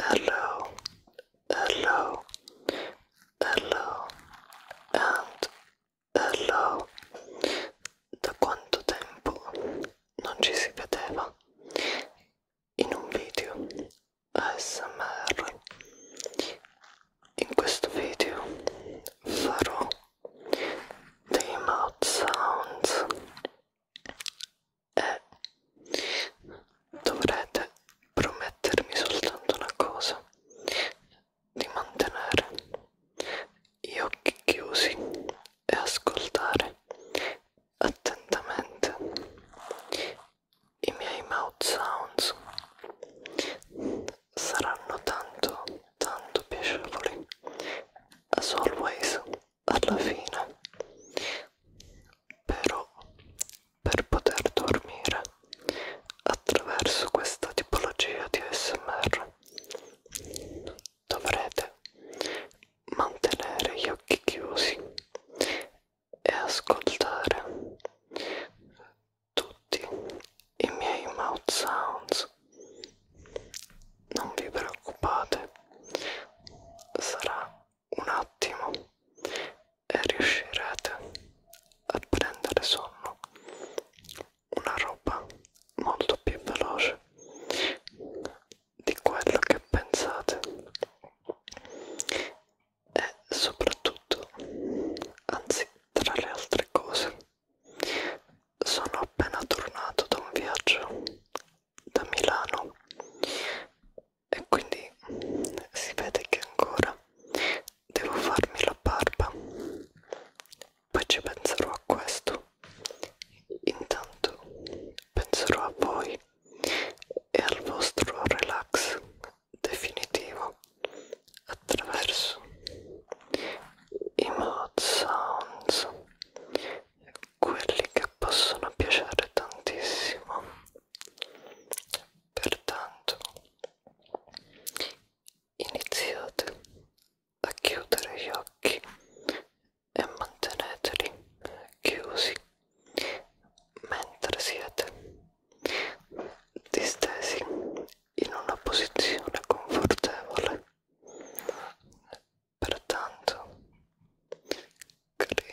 hello, hello, hello, and hello. Da quanto tempo non ci si vedeva in un video ASMR? In questo video farò dei mouth sounds e eh, dovrete promettermi soltanto una cosa di mantenere gli occhi chiusi e ascoltare attentamente i miei mouth sounds saranno tanto tanto piacevoli as always alla fine però per poter dormire attraverso questa tipologia di ASMR dovrete mantenere gli occhi chiusi e ascoltare tutti i miei mouth sounds non vi preoccupate sarà un attimo e riuscirete a prendere sonno una roba molto più veloce di quello che pensate e soprattutto anzi tra le altre cose sono appena tornato da un viaggio da Milano e quindi si vede che ancora devo farmi la barba poi ci penserò a questo intanto penserò a voi e al vostro relax definitivo attraverso i mod sounds quelli che possono piacere tantissimo Pertanto iniziate a chiudere gli occhi e manteneteli chiusi mentre siete distesi in una posizione confortevole. Pertanto crei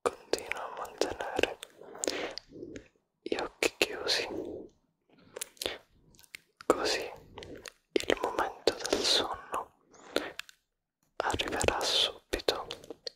Continua a mantenere gli occhi chiusi, così il momento del sonno arriverà subito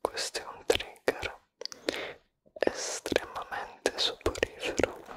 questo è un trigger estremamente soporifero cre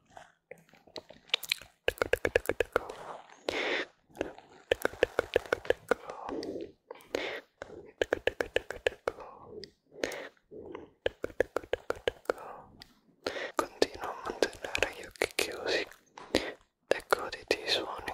Continua a mantenere gli occhi chiusi e goditi i suoni.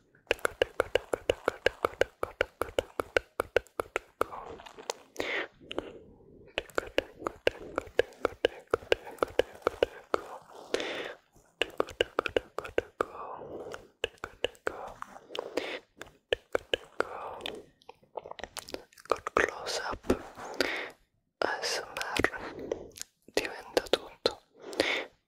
Col close up ASMR diventa tutto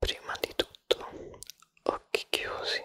prima di tutto occhi chiusi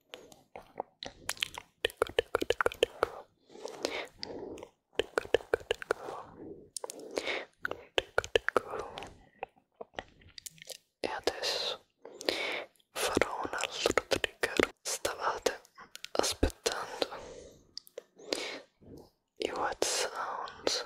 Ticco, ticco, ticco, ticco. Ticco, ticco, ticco. Ticco, ticco. E adesso farò un altro trigger. Stavate aspettando i wet sounds.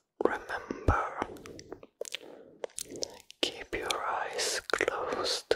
Remember, keep your eyes closed.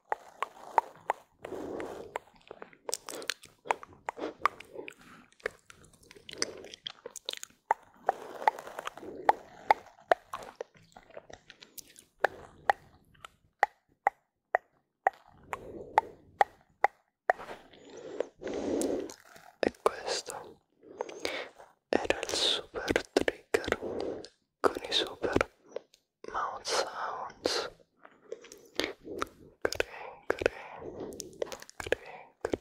E questo era il super trigger con i super mouth sounds. Kring, kring, kring, kring.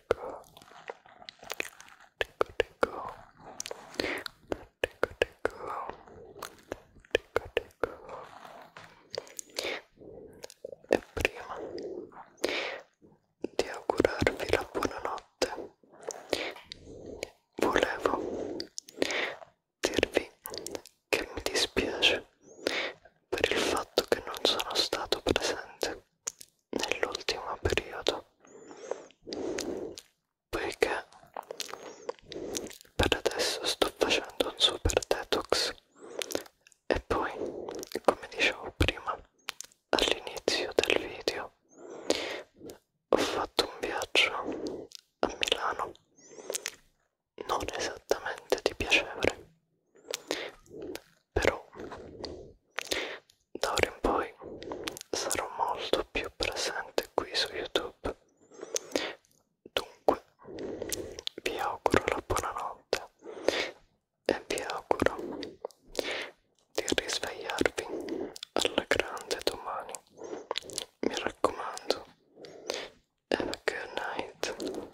ecco ecco ecco e prima di augurarvi la buonanotte volevo dirvi che mi dispiace per il fatto che non sono stato presente nell'ultimo periodo poiché per adesso sto facendo un super detox e poi come dicevo prima all'inizio del video ho fatto un viaggio a Milano non esattamente di piacevole però da ora in poi sarò molto più presente qui su YouTube. Dunque, vi auguro la buonanotte e vi auguro di risvegliarvi alla grande domani. Mi raccomando, have a good night.